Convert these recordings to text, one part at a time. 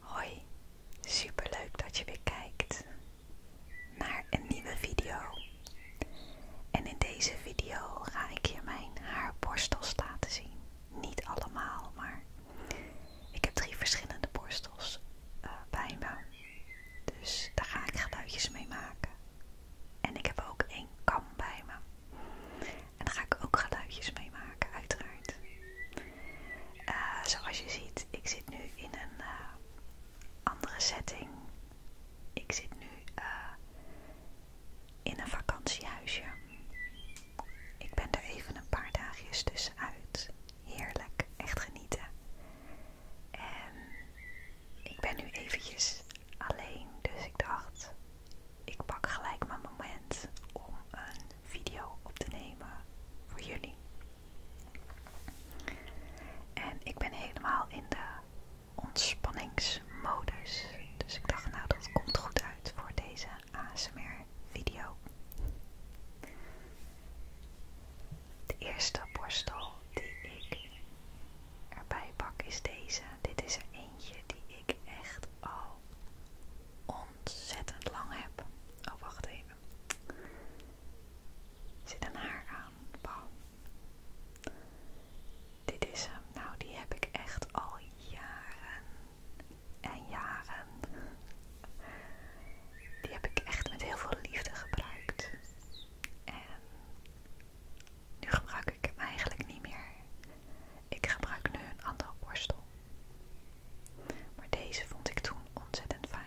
Hoi, super leuk dat je weer kijkt naar een nieuwe video. En in deze video ga ik je mijn haarborstels laten zien. Niet allemaal, maar ik heb drie verschillende borstels eh, bij me. Dus daar ga ik geluidjes mee maken. En ik heb ook een kam bij me. En daar ga ik ook geluidjes mee maken, uiteraard. Eh, zoals je ziet, ik zit nu in een eh, andere setting. Ik zit nu eh, in een vakantiehuisje. Ik ben er even een paar dagjes tussenuit. Heerlijk, echt genieten. En ik ben nu eventjes alleen, dus ik dacht, ik pak gelijk mijn moment om een video op te nemen voor jullie. En ik ben helemaal in de ontspanningsmodus. Dus ik dacht, nou dat komt goed uit voor deze ASMR video. De eerste borstel die ik erbij pak is deze. Dit is er eentje die ik echt al ontzettend lang heb. Oh, wacht even. zit een haar aan. Dit is hem. Nou, die heb ik echt al jaren en jaren. Die heb ik echt met heel veel liefde gebruikt. En nu gebruik ik hem eigenlijk niet meer. Ik gebruik nu een ander borstel. Maar deze vond ik toen ontzettend fijn.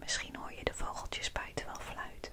Misschien hoor je de vogeltjes buiten wel fluiten.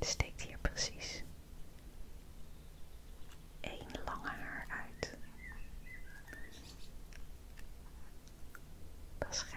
steekt hier precies één lange haar uit. Dat gek.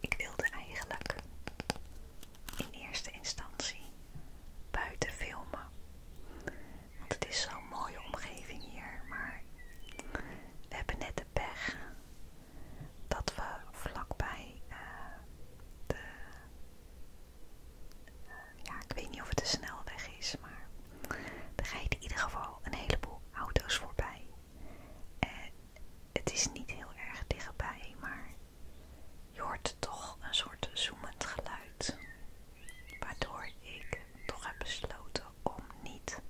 Ik wilde eigenlijk in eerste instantie buiten filmen. Want het is zo'n mooie omgeving hier, maar we hebben net de pech dat we vlakbij eh, de ja, ik weet niet of het een snelweg is, maar er rijden in ieder geval een heleboel auto's voorbij. En het is niet heel erg dichtbij, maar je hoort toch een soort zoemend geluid. Waardoor ik toch heb besloten om niet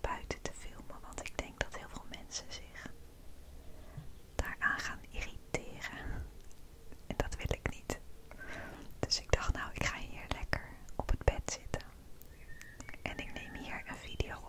buiten te filmen, want ik denk dat heel veel mensen zich daaraan gaan irriteren. En dat wil ik niet. Dus ik dacht, nou, ik ga hier lekker op het bed zitten. En ik neem hier een video op.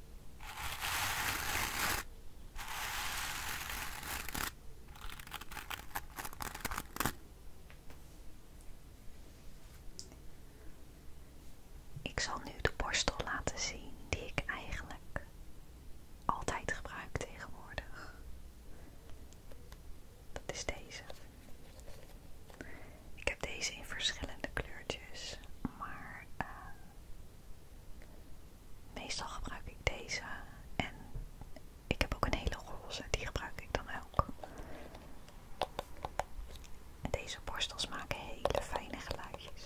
Ik zal nu de borstel laten zien die ik eigenlijk altijd gebruik tegenwoordig. Dat is deze. Ik heb deze in verschillende kleurtjes, maar eh, Meestal gebruik ik deze en ik heb ook een hele roze, die gebruik ik dan ook. En deze borstels maken hele fijne geluidjes.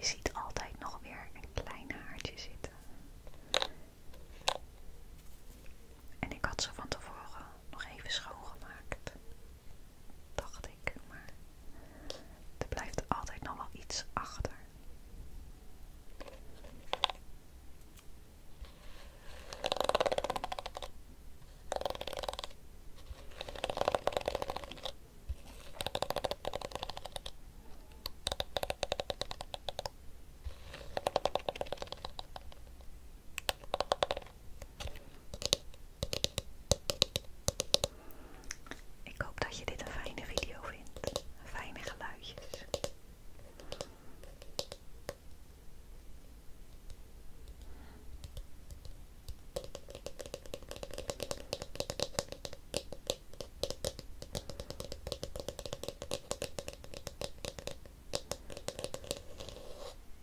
Je ziet altijd nog weer een klein haartje zitten. En ik had ze van tevoren nog even schoongemaakt. Dacht ik, maar er blijft altijd nog wel iets achter. Ik hoop dat je dit een fijne video vindt. Fijne geluidjes.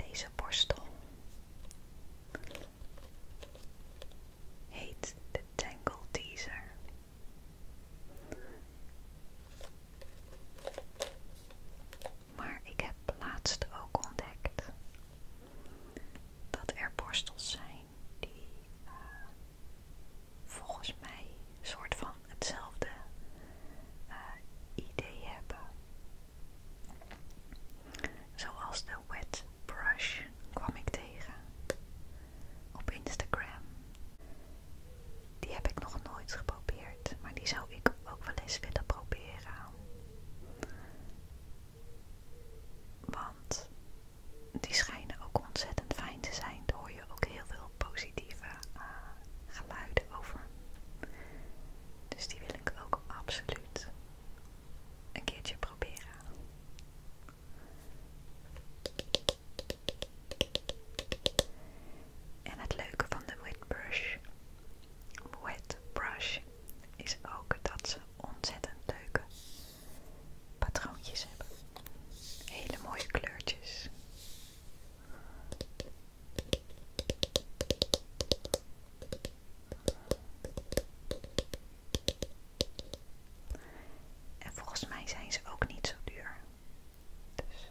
Deze borstel heet de Tangle Teaser maar ik heb laatst ook ontdekt dat er borstels zijn die eh, volgens mij een soort van hetzelfde eh, idee hebben. Zoals de wet brush kwam ik tegen op Instagram. Die heb ik nog nooit geprobeerd maar die zou ik ook wel eens willen proberen. Want die schijnen ook ontzettend fijn te zijn. Daar hoor je ook heel veel positieve eh, geluiden over. Dus die wil ik ook absoluut een keertje proberen. En het leuke van de wet brush, wet brush is ook dat ze ontzettend leuke patroontjes hebben. Hele mooie kleurtjes. En volgens mij zijn ze ook niet zo duur. Dus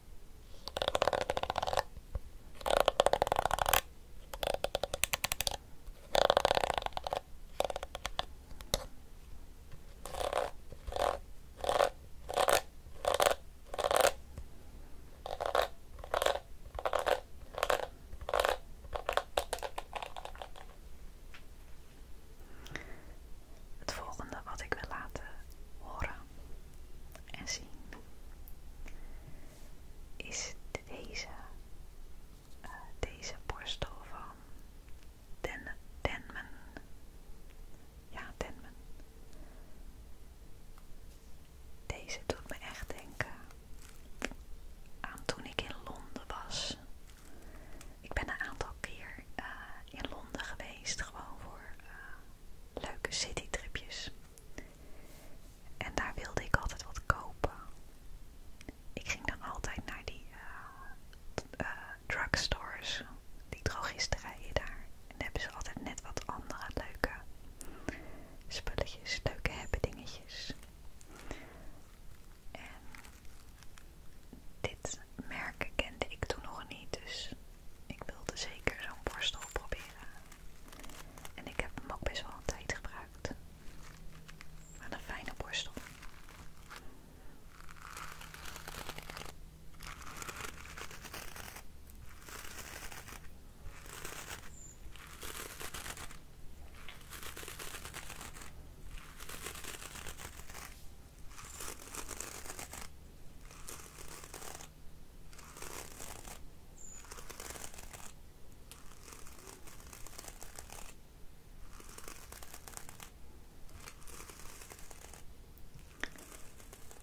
Het volgende wat ik wil laten horen en zien. Is deze, eh, deze borstel van Denman? Ja, Denman. Deze doet me echt denken aan toen ik in Londen was. Ik ben een aantal keer eh, in Londen geweest, gewoon voor eh, leuke citytripjes. En daar wilde ik altijd wat kopen. Ik ging dan altijd naar die eh, eh, drugstores, die drogisterijen daar. En hebben ze altijd net wat andere leuke spulletjes, leuke hebben En dit merk kende ik toen nog niet, dus ik wilde zeker zo'n borstel proberen. En ik heb hem ook best wel een tijd gebruikt. Maar een fijne borstel.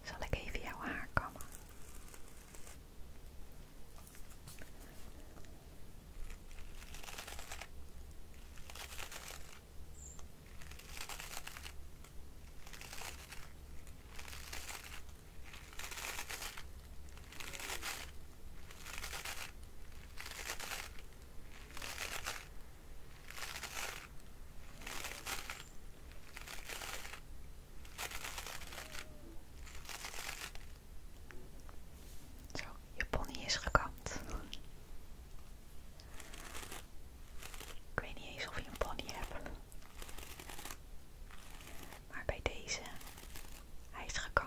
Zal ik even jouw haar kammen? Zo, je pony is gekapt. Ik weet niet eens of je een pony hebt. Maar bij deze, hij is gekant.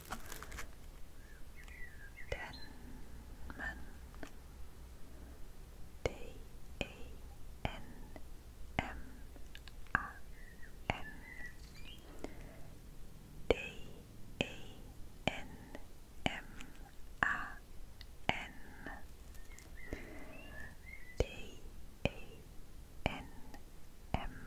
Denman D E N M A N D E N M A N D E N M A N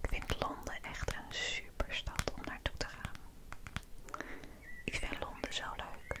Ik vind Londen echt een superstad om naartoe te gaan. Ik vind Londen zo leuk.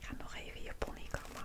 Ga nog even je pony kammen.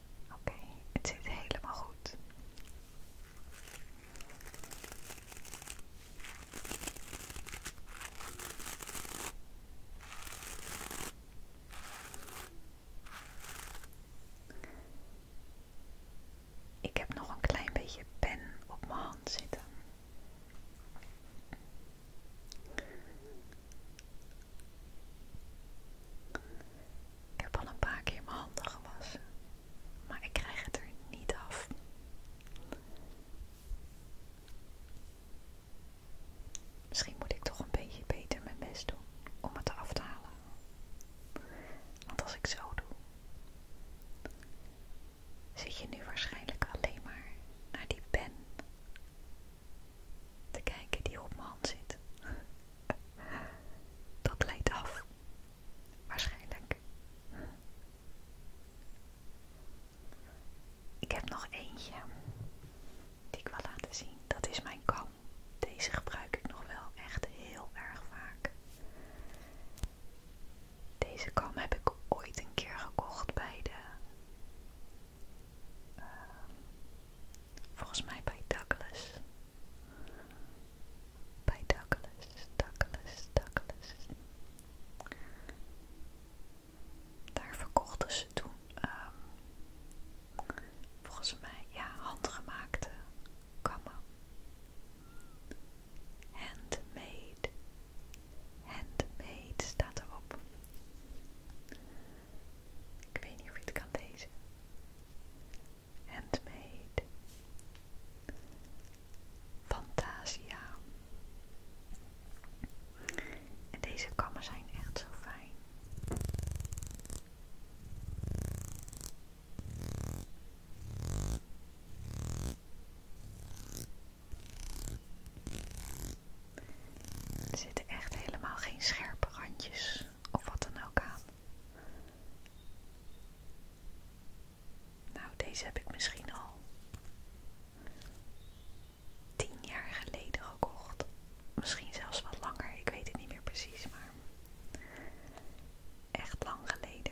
Oké, het zit helemaal goed. Ik heb nog een klein beetje pen op mijn hand zitten. Ik heb al een paar keer mijn handen gewassen, maar ik krijg het er niet af. Misschien moet ik toch een beetje beter mijn best doen om het af te halen. Want als ik zo doe, zit je nu waarschijnlijk alleen maar naar die pen te kijken die op mijn hand zit. Dat leidt af. Waarschijnlijk. Ik heb nog eentje die ik wil laten zien. Dat is mijn kam. Deze gebruik ik nog wel echt heel erg vaak. Deze kam heb ik ooit een keer gekocht bij de ehm, Volgens mij bij Douglas. Bij Douglas, Douglas, Douglas. Daar verkochten ze toen, ehm, volgens mij, ja, handgemaakte kammen. Handmade. Handmade staat erop. Ik weet niet of je het kan lezen. Handmade Fantasia En deze kammen zijn echt zo fijn er zitten echt helemaal geen scherpe randjes of wat dan ook aan. Nou, deze heb ik misschien al tien jaar geleden gekocht. Misschien zelfs wat langer, ik weet het niet meer precies, maar echt lang geleden.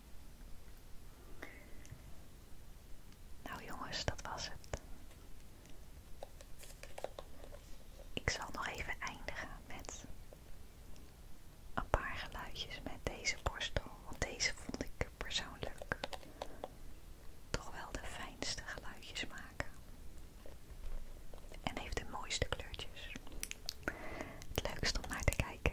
Nou jongens, dat was het. Ik zal nog even eindigen met een paar geluidjes met deze borstel, want deze vond ik persoonlijk toch wel de fijnste geluidjes maken. En heeft de mooiste kleurtjes. Het leukst om naar te kijken.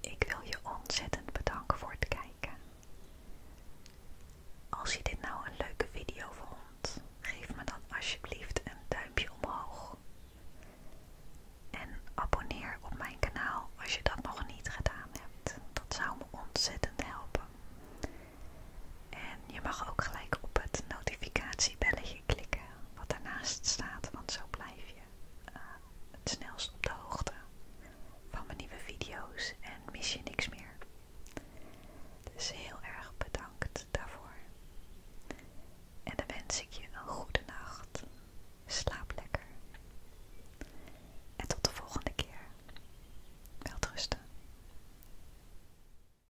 Ik wil je ontzettend bedanken voor het kijken. Als je dit nou een leuke video vond, geef me dan alsjeblieft een duimpje omhoog. En abonneer op mijn kanaal als je dat nog niet gedaan hebt. Dat zou me ontzettend helpen. En je mag ook gelijk op het notificatiebelletje klikken wat daarnaast staat, want zo blijf je eh, het snelst op de hoogte van mijn nieuwe video's en mis je niks meer. Dus heel erg bedankt daarvoor. En dan wens ik je een goede nacht. Slaap lekker. En tot de volgende keer. Welterusten.